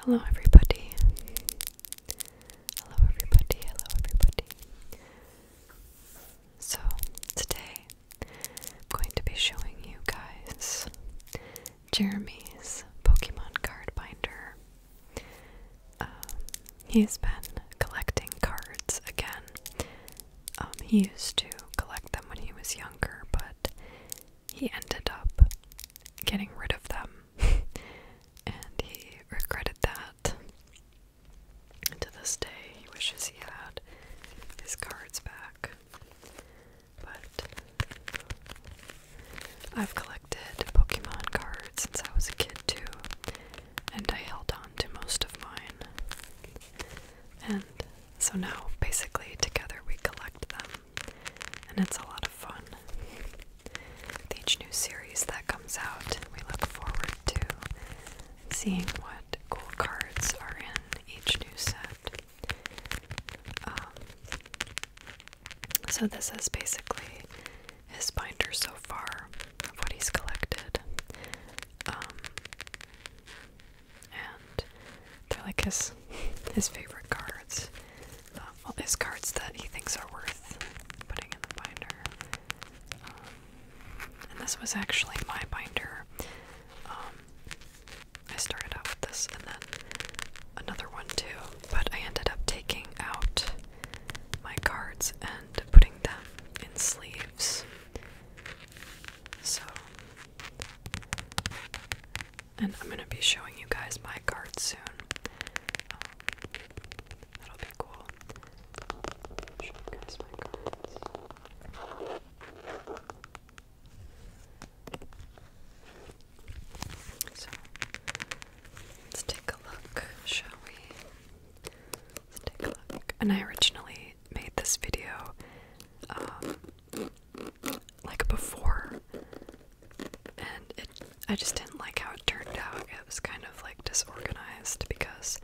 Hello, everybody. Hello, everybody. Hello, everybody. So, today I'm going to be showing you guys Jeremy's Pokemon card binder. Um, he's been collecting cards again. Um, he used to collect them when he was younger, but he ended up getting rid of them, and he regretted that. And to this day, he wishes he had his cards back. But I've collected Pokemon cards since I was a kid, too, and I held on to most of mine. And so now, basically, together we collect them, and it's a lot of fun. With each new series that comes out, we look forward to seeing what cool cards are in each new set. Um, so, this is basically his binder so far of what he's collected. Um, and they're like his his favorite cards. Uh, well, his cards that he thinks are worth putting in the binder. Um, and this was actually my binder. Um, I started out with this, and then another one too. But I ended up taking out my cards and putting them in sleeves. So and I'm gonna be showing you guys my cards soon. Um, that'll be cool. let's take a look, shall we? Let's take a look. And I originally made this video um, like before, and it I just didn't like how it turned out. It was kind of like disorganized because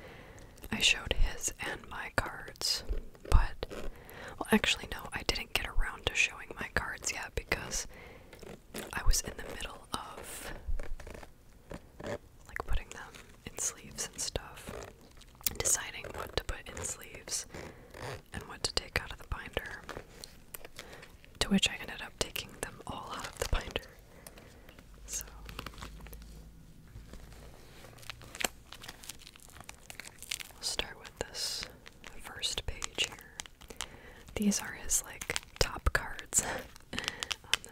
I showed his and my cards, but well, actually, no, I didn't get around to showing my cards yet because I was in the middle of like putting them in sleeves and stuff deciding what to put in sleeves and what to take out of the binder. To which I ended up taking them all out of the binder. So. We'll start with this first page here. These are his like top cards on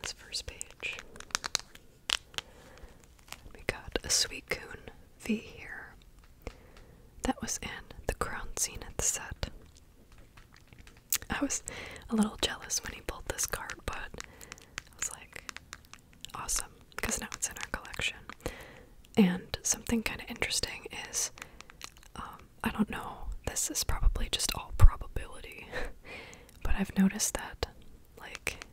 this first page. We got a sweet coon V here. That was in the Crown Zenith set. I was a little jealous when he pulled this card, but I was like, awesome, because now it's in our collection. And something kind of interesting is um, I don't know, this is probably just all probability, but I've noticed that, like,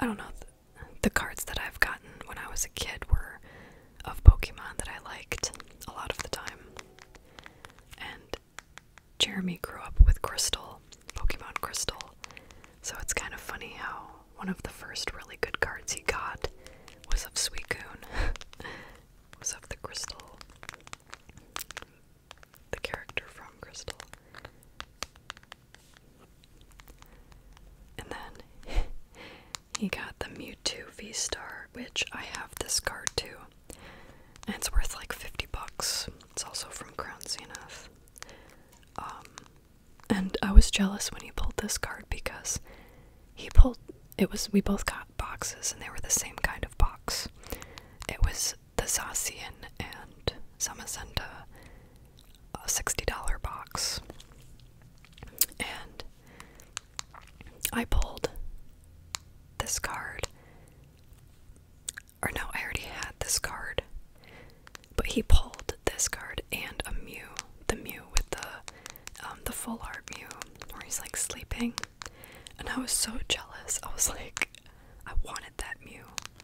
I don't know, the cards that I've gotten when I was a kid were of Pokemon that I liked a lot of the time. And Jeremy grew up with Crystal, Pokemon Crystal. So it's kind of funny how one of the first really good cards he got was of Suicune. was of the Crystal. The character from Crystal. And then he got the Mewtwo V Star, which I have this card too. And it's worth like 50 bucks. It's also from Crown Zenith. Um, and I was jealous when he pulled this card because he pulled it was we both got boxes and they were the same kind of box. It was the Zacian and Zamazenta a $60 box. And I pulled this card. Or no, I already had this card. But he pulled this card and a Mew. The Mew with the um, the full art Mew where he's like sleeping. And I was so jealous. I was like, I wanted that Mew.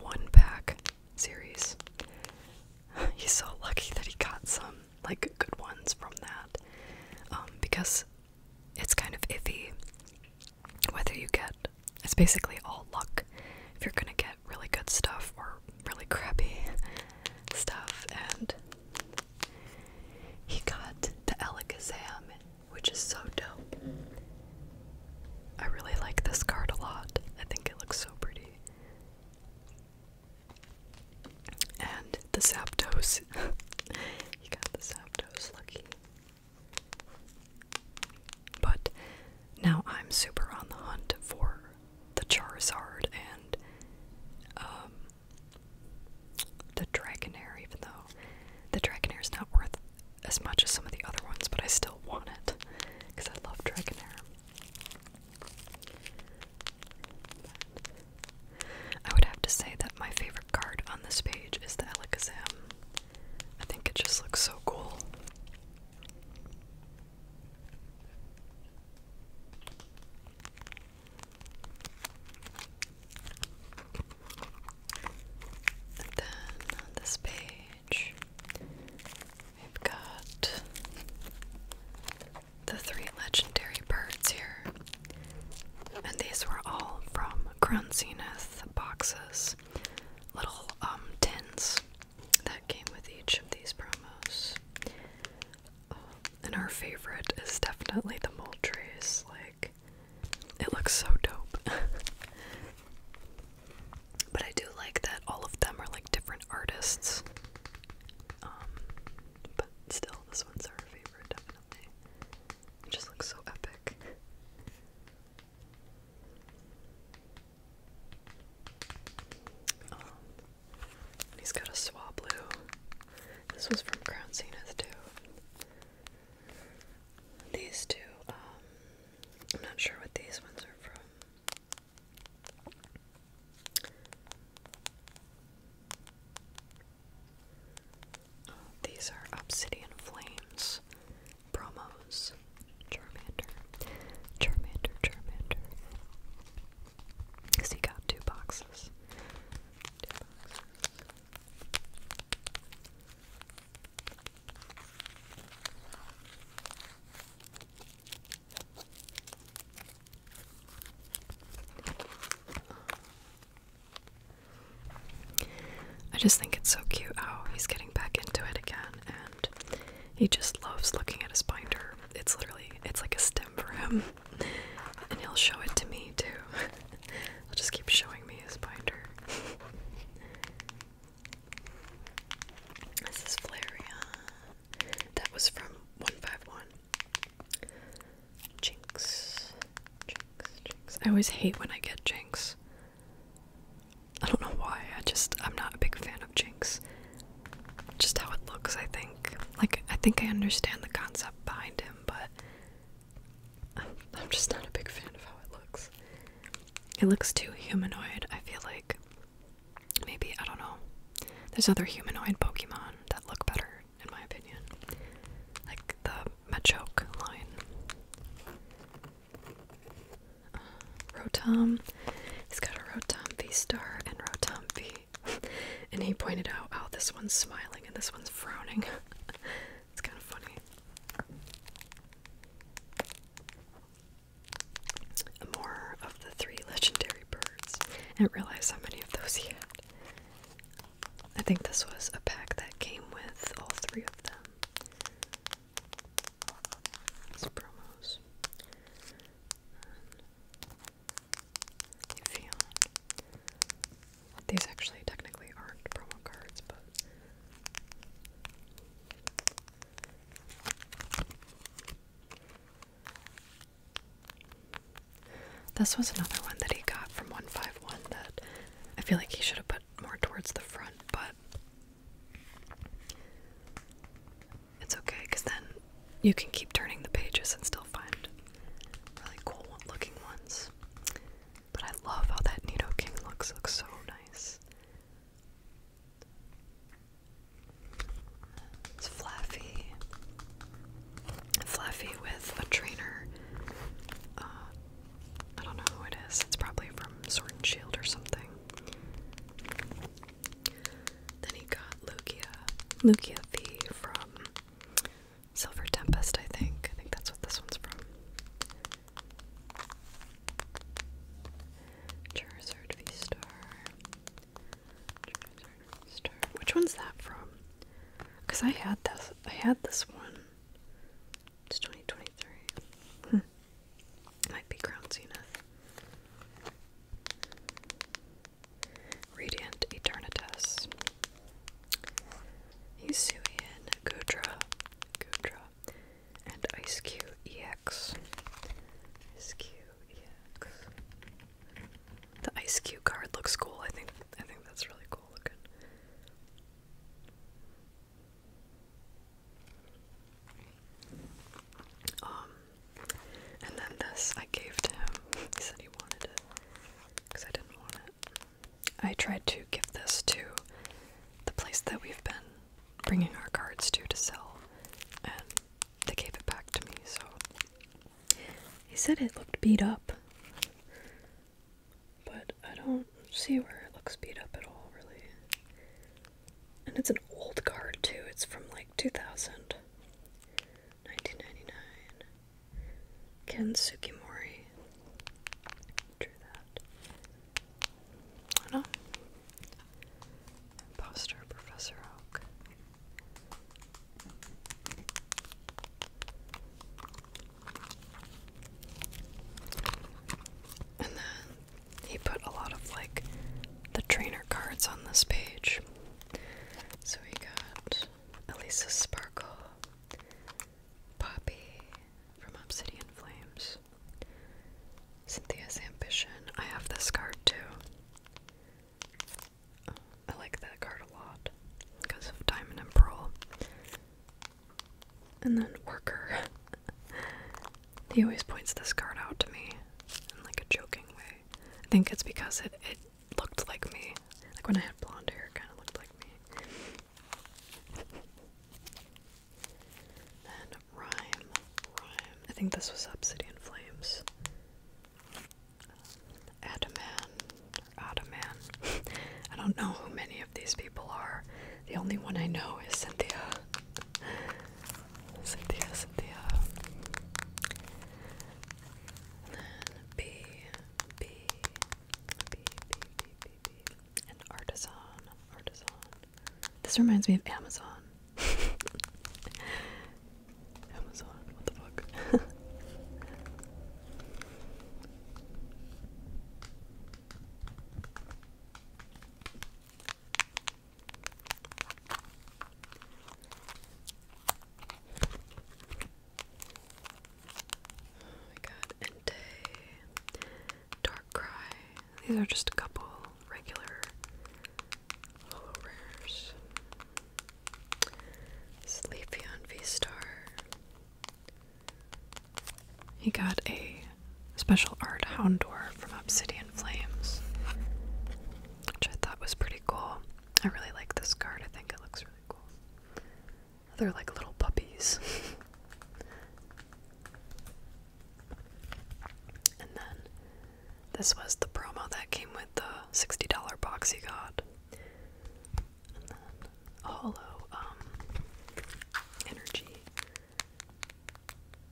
one pack series. He's so lucky that he got some like good ones from that, um, because it's kind of iffy whether you get. It's basically all luck if you're gonna get really good stuff or really crappy stuff. And he got the Alakazam which is so dope. I really like this card a lot. I think it looks so pretty. And the Zapdos. you got the Zapdos, lucky. But now I'm super on the hunt for the Charizard and um, the Dragonair, even though the Dragonair is not worth as much as some of the other ones, but I still want it because I love Dragonair. I would have to say that my favorite card on this page is the Alakazam. I think it just looks so cool. And then on this page, we've got the three legendary birds here, and these were all from Crown Zenith boxes, little um, tins that came with each of these promos. and our favorite is definitely the Moultries, like it looks so dope. but I do like that all of them are like different artists. Um, but still, this one's our favorite, definitely. It just looks so epic. Um, he's got a swablu. This was from Crown Cena's too. These two, um, I'm not sure what these ones are from. these are Obsidian Flames promos. Charmander. Charmander, Charmander. Because he got Two boxes. I just think it's so cute Oh, he's getting back into it again and he just loves looking at his binder. It's literally it's like a stem for him. And he'll show it to me too. he'll just keep showing me his binder. This is Flareon. That was from 151. Jinx. Jinx, Jinx. I always hate when I get Jinx. I don't know why. I just, I'm not a big fan of Jinx. Just how it looks, I think. Like, I think I understand the concept behind him, but I'm just not a big fan of how it looks. It looks too humanoid, I feel like. Maybe, I don't know. There's other humanoid Pokemon that look better, in my opinion. Like the Machoke line. Rotom. He's got a Rotom V star and Rotom V. and he pointed out how oh, this one's smiling and this one's frowning. It's kind of funny. More of the three legendary birds. I didn't realize how many of those he had. I think this was a pack that came with all three of them. These promos. These actually technically aren't promo cards, but this was another one that he got from 151 that I feel like he should have put more towards the front, but it's okay because then you can keep turning the pages and still find really cool looking ones. But I love how that Nido looks, looks so nice. It's Fluffy. Fluffy with a trainer. Uh, I don't know who it is. It's probably from Sword Shield or something. Then he got Lugia. Lugia the from Silver Tempest, I think. I think that's what this one's from. Charizard star Which one's that from? Because I had this. I had this one. It's 2023. Hmm. Might be Crown Zenith. Radiant Eternatus. Hisuian Gudra. Gudra and Ice Q EX. Ice Q EX. The Ice Q card looks cool. I think I think that's really cool looking. Um, and then this I gave to him. He said he wanted it because I didn't want it. I tried to give this to the place that we've been bringing our cards to to sell, and they gave it back to me, so. He said it looked beat up, but I don't see where it looks beat up at all, really. And it's an old card, too. It's from like 2000, 1999. Ken Sukimori drew that. I don't know. Imposter Professor Oak. And then he put a lot of like the trainer cards on this page. So we got Elisa Sparkle, Poppy from Obsidian Flames. Cynthia's Ambition. I have this card too. I like that card a lot because of Diamond and Pearl. And then Worker. he always points this card out to me in like a joking way. I think it's because it, it looked like me. Like when I had blonde hair, it kind of looked like me. Then Rhyme, Rhyme. I think this was Obsidian Flames. Adaman, Adaman. I don't know who many of these people are. The only one I know is Cynthia. Cynthia, Cynthia. then B, B, B, B, B, B. An artisan, artisan. This reminds me of Amazon. Amazon, what the fuck? Oh my god, and Dark Cry. These are just a couple regular hollow rares. Sleepy on V Star. He got a special art Houndour from Obsidian Flames, which I thought was pretty cool. I really like this card, I think it looks really cool. They're like little puppies. and then this was the promo that came with the $60 box you got. a hollow um, energy.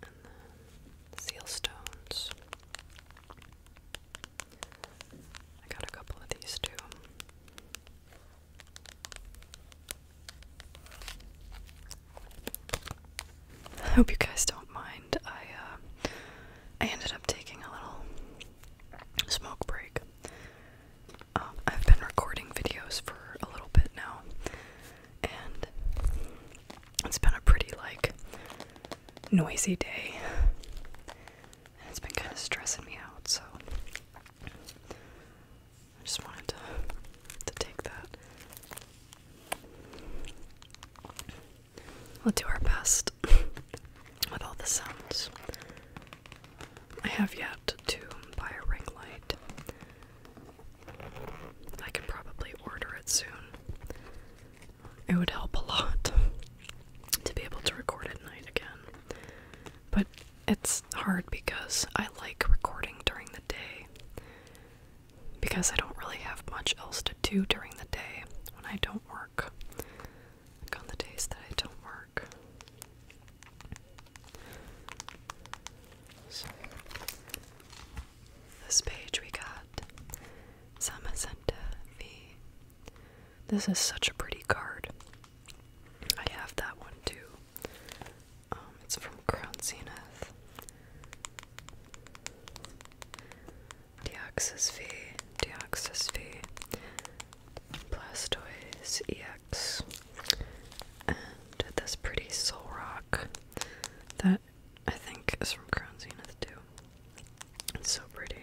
And then seal stones. I got a couple of these too. I hope you guys don't mind. I uh, I ended up taking a little smoke break. Um, I've been recording videos for a little bit now, and it's been a pretty like noisy day, and it's been kind of stressing me out. So I just wanted to, to take that. We'll do our best with all the sounds. I have yet to buy a ring light. I can probably order it soon. It would help a lot to be able to record at night again. But it's hard because I like recording during the day. Because I don't really have much else to do during the day when I don't work. on the days that I don't work. this page we got Samacenta V. This is such a pretty card. I have that one too. Um, it's from Crown Zenith. Deoxys V, Deoxys V, Blastoise EX, and this pretty soul that I think is from Crown Zenith too. It's so pretty.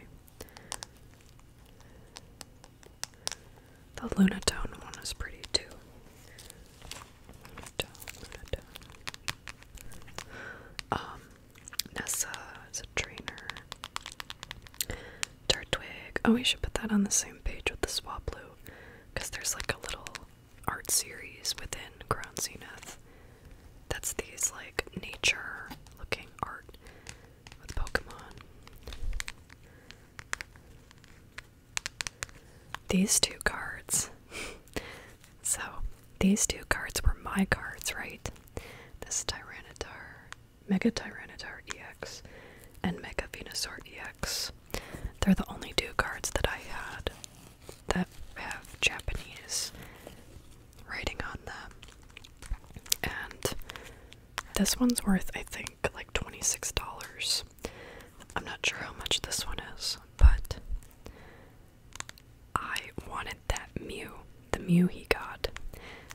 The Lunatone one is pretty too. Um, Nessa is a trainer. Turtwig. Oh, we should put that on the same page with the Swablu, because there's like a little art series within Crown Zenith. That's these like nature looking art with Pokemon. These two cards. so, these two cards were my cards, right? This Tyranitar, Mega Tyranitar EX, and Mega Venusaur EX. They're the only two cards that I had that have Japanese writing on them. And this one's worth, I think, like $26. I'm not sure how much this one is, but I wanted that Mew, the Mew he got,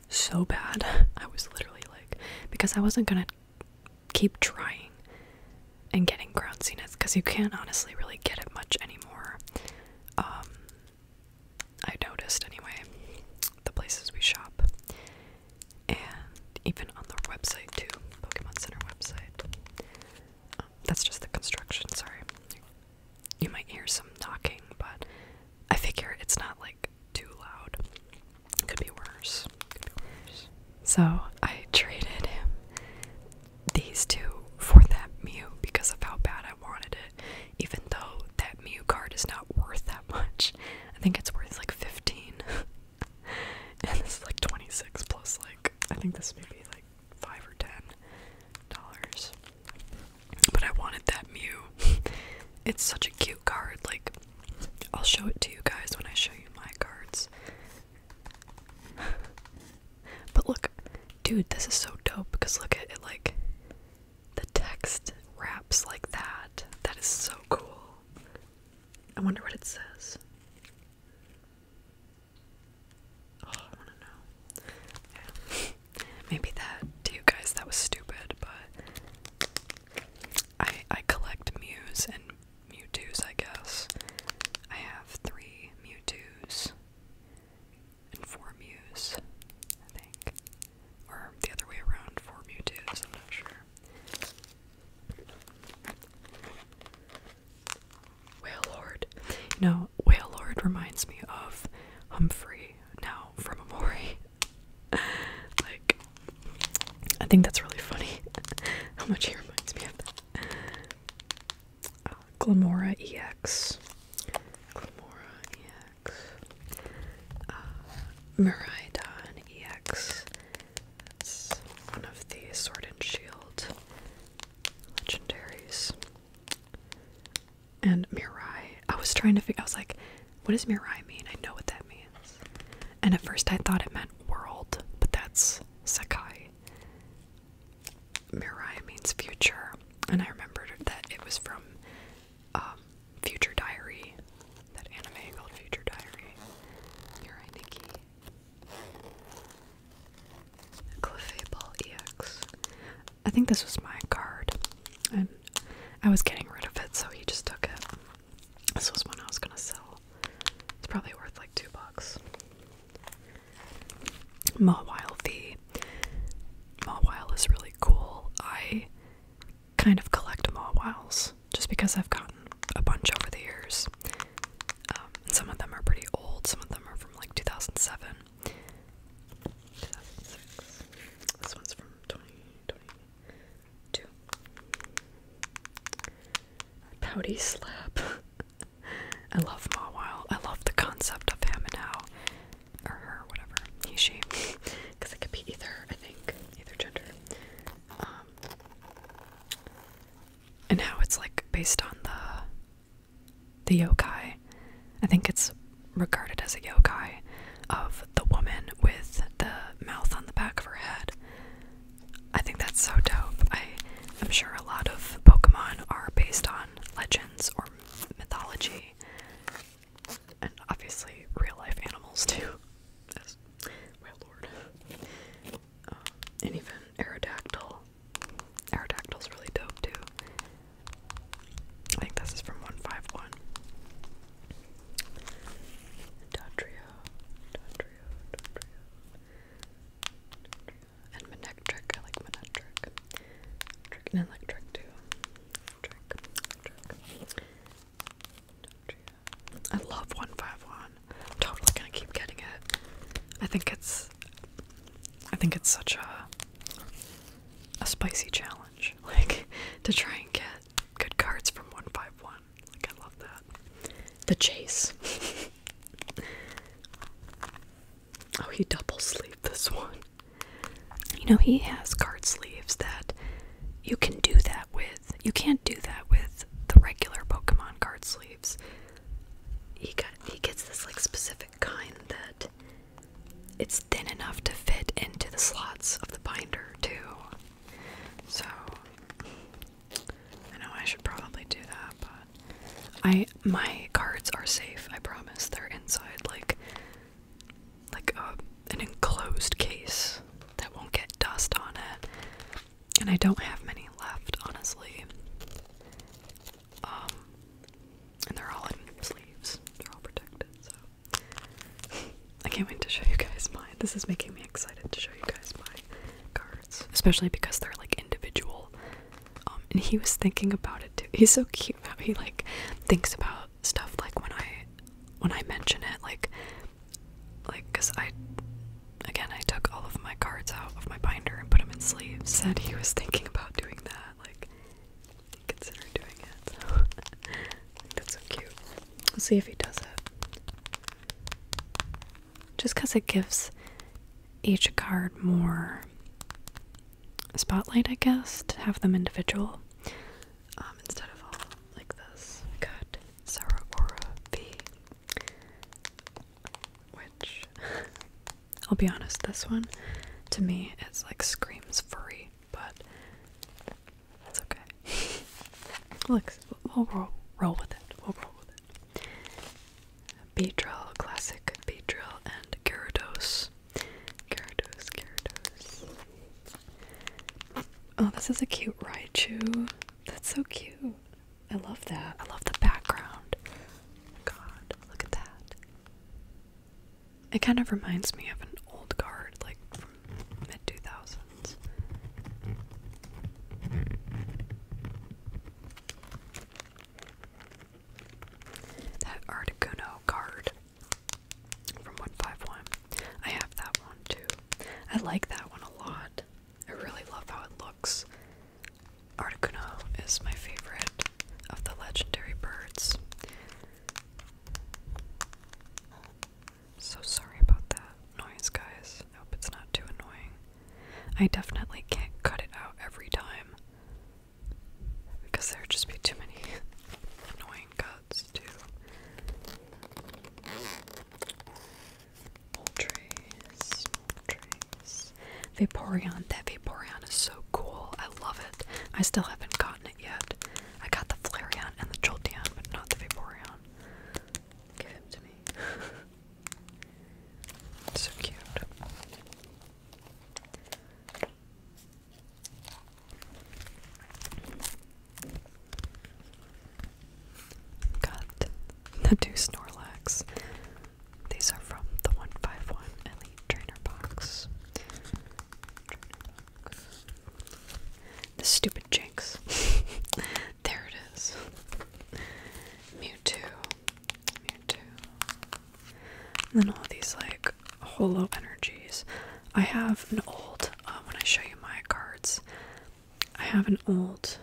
so bad. I was literally like, because I wasn't gonna keep trying and getting ground because you can't honestly really get it much anymore. Um, I noticed anyway, the places we shop and even on the website too, Pokemon Center website. Um, that's just the construction. Sorry, you might hear some knocking, but I figure it's not like too loud. It could be worse. Could be worse. So I traded these two for that Mew because of how bad I wanted it. Even though that Mew card is not worth that much, I think it's worth like fifteen. and this is like 26 plus like I think this may be like five or ten dollars. But I wanted that Mew. it's such a cute card. Like I'll show it to you guys when I show you my cards. but look, dude, this is so dope because look at it like the text wraps like that. That is so cool. I wonder what it says. Oh, I want to know. Maybe that you guys that was stupid, but I I collect Mews and Mewtwo's, I guess. I have three Mewtwo's and four Mews, I think, or the other way around, four Mewtwo's. I'm not sure. Whale Lord. You know, Whale Lord reminds me of Humphrey now from Amori. like, I think that's really funny how much he reminds me of that. EX. Uh, Glamora EX. Uh, EX one of the Sword and Shield legendaries. And Mirai. I was trying to figure I was like, what does Mirai mean? I know what that means. And at first I thought it meant world, but that's Sakai. Mirai means future. And I remembered that it was from um, Future Diary, that anime called Future Diary. Yurai Nikki. EX. I think this was my card. And I was getting rid of it, so he just took it. This was one I was gonna sell. It's probably worth like two bucks. V. the Mawile is really cool. I kind of collect Mawwows just because I've gotten a bunch over the years. Um, some of them are pretty old, some of them are from like 2007. 2006. This one's from 2022. Pouty Slap. I love Mawile. I love the concept of him and how, or her, whatever, he, she, because it could be either, I think, either gender. Um, and how it's like based on the the yokai. I think it's regarded as a yokai of the woman with the mouth on the back of her head. I think that's so dope. I am sure a lot of Pokemon are based on legends or mythology, and obviously real life animals too. My lord. Uh, and even Aerodactyl. Aerodactyl's really dope too. I think this is from 151. Dodrio, Dodrio, Dodrio. And Manectric, I like Manectric. Trick too. I love 151. I'm totally gonna keep getting it. I think it's I think it's such a a spicy challenge. Like to try and get good cards from 151. Like I love that. The chase. oh, he double sleeved this one. You know, he has card sleeves that you can do that with you can't do that with the regular Pokemon card sleeves. He got he gets this like specific kind that it's thin enough to fit into the slots of the binder too. So I know I should probably do that, but I my cards are safe. I promise they're inside like like a, uh, an enclosed case that won't get dust on it. And I don't have many left, honestly. Um, and they're all in sleeves. They're all protected, so I can't wait to show you guys mine. This is making me excited to show you guys my cards, especially because they're like individual. Um, and he was thinking about it too. He's so cute how he like thinks about stuff like when I when I mention it, like like, because I, again, I took all of my cards out of my binder and put them in sleeves. Said he was thinking about doing that, like, consider doing it. So, that's so cute. Let's see if he does it. Just because it gives each card more spotlight, I guess, to have them individual um, instead of all like this. Good. Saragora V. Which, I'll be honest, this one to me it's like screams furry, but that's okay. Look, we'll roll, roll with it. We'll roll with it. drill classic B drill and Gyarados. Gyarados, Gyarados. Oh, this is a cute Raichu. That's so cute. I love that. I love the background. God, look at that. It kind of reminds me of an old card, like from mid 2000s. That Articuno card from 151. I have that one too. I like that one a lot. I really love how it looks. Articuno is my favorite of the legendary birds. So sorry about that noise, guys. I it's not too annoying. I definitely can't cut it out every time because there would just be too many annoying routes to Moltres, Moltres. Vaporeon, that Vaporeon is so cool. I love it. I still haven't gotten it yet. I got the Flareon and the Joltian, but not the Vaporeon. Give him to me. so cute. Got the two Snorlax. These are from the 151 Elite Trainer Box. Trainer box. The stupid Jinx. there it is. Mewtwo. Mewtwo. And then all these like holo energies. I have an old, uh, when I show you my cards, I have an old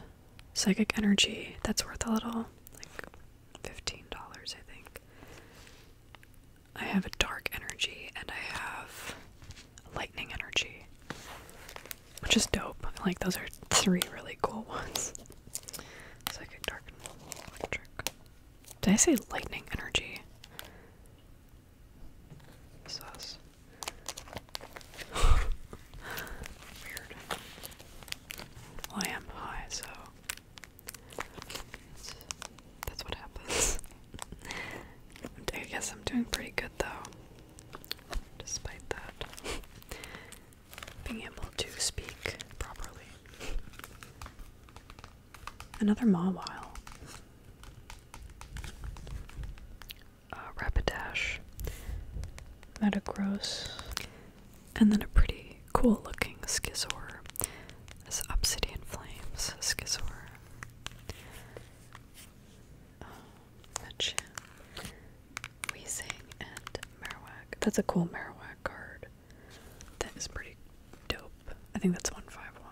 psychic energy that's worth a little, like $15, I think. I have a dark energy and I have lightning energy, which is dope. like those are three really cool ones. Psychic, dark, electric. Did I say lightning energy? Sus. Weird. I am high, so that's what happens. I guess I'm doing pretty good though, despite that. Being able to speak properly. Another while. Uh, Rapidash, Metagross, and then a pretty cool looking Scizor. This Obsidian Flames Scizor. Um, Weezing, and Marowak. That's a cool Marowak card. That is pretty dope. I think that's 151.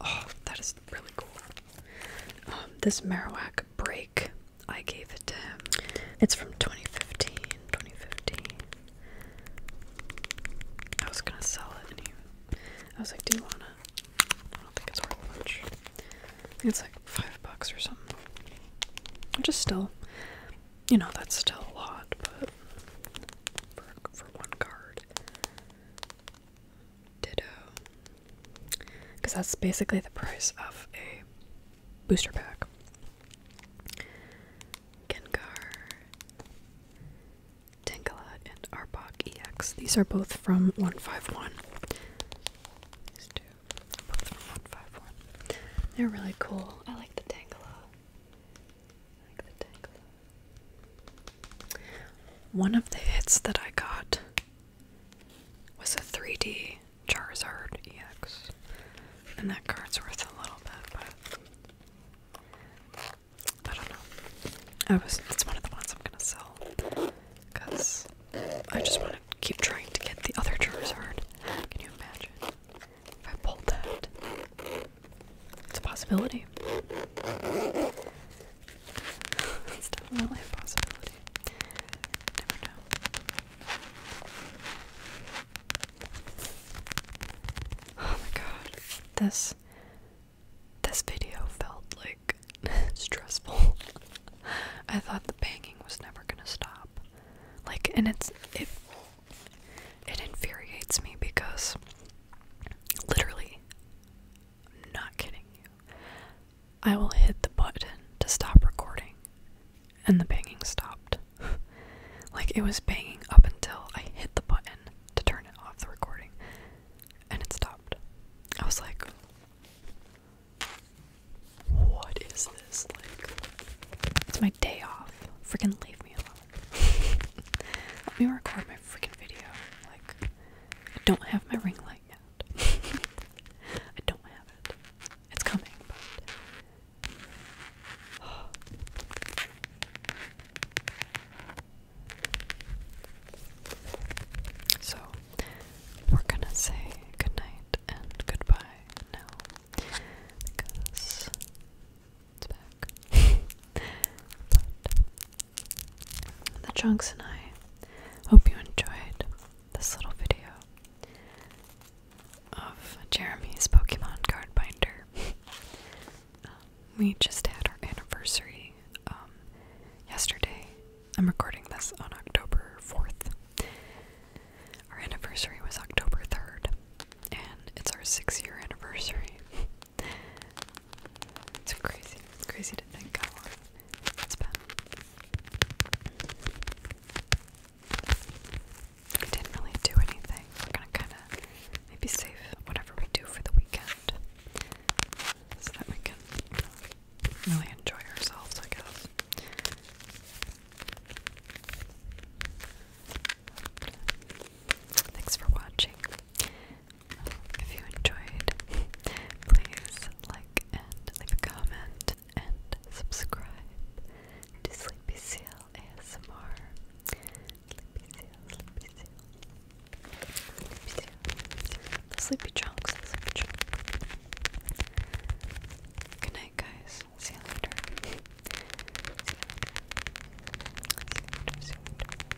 Oh, that is really cool. Um, this Marowak break, I gave it to him. It's from 2015. I was gonna sell it, and he, I was like, "Do you wanna?" I don't think it's worth much. it's like five bucks or something. Which is still, you know, that's still a lot, but for one card. Ditto. Because that's basically the price of a booster pack. Gengar, Tankalat, and Arbok EX. These are both from 151. These two both from 151. They're really cool. I like the Tangela. I like the Tangela. One of the hits that I got was a 3D Charizard EX, and that card's worth a little bit, but I don't know. I was, it's one of the ones I'm gonna sell because I just want to keep trying to get the other Charizard. Can you imagine if I pulled that? It's a possibility it's definitely a possibility. Never know. Oh my god. This this video felt like stressful. I thought the banging was never gonna stop. Like and it's it it infuriates me because literally I'm not kidding I will hit the button to stop recording, and the banging stopped. like it was banging up until I hit the button to turn it off the recording, and it stopped. I was like, what is this? Like, it's my day off. Freaking leave me alone. Let me record my freaking video. Like, I don't have my ring light yet. I don't have it. It's coming, So, we're gonna say goodnight and goodbye now. Because. It's back. The Chunks and I hope you enjoyed this little video of Jeremy's Pokemon card binder. we just had our anniversary um, yesterday. I'm recording this on October 4th. Our anniversary was October 3rd, and it's our six year anniversary. It's crazy. crazy to think how long it's been. We didn't really do anything. We're gonna kind of maybe save whatever we do for the weekend so that we can really enjoy ourselves, I guess. Thanks for watching. If you enjoyed, please like and leave a comment and subscribe to Sleepy Seal ASMR. Sleepy Seal, Sleepy Seal. Sleepy Seal. Sleepy Chunks, Good night, guys. See you See you later.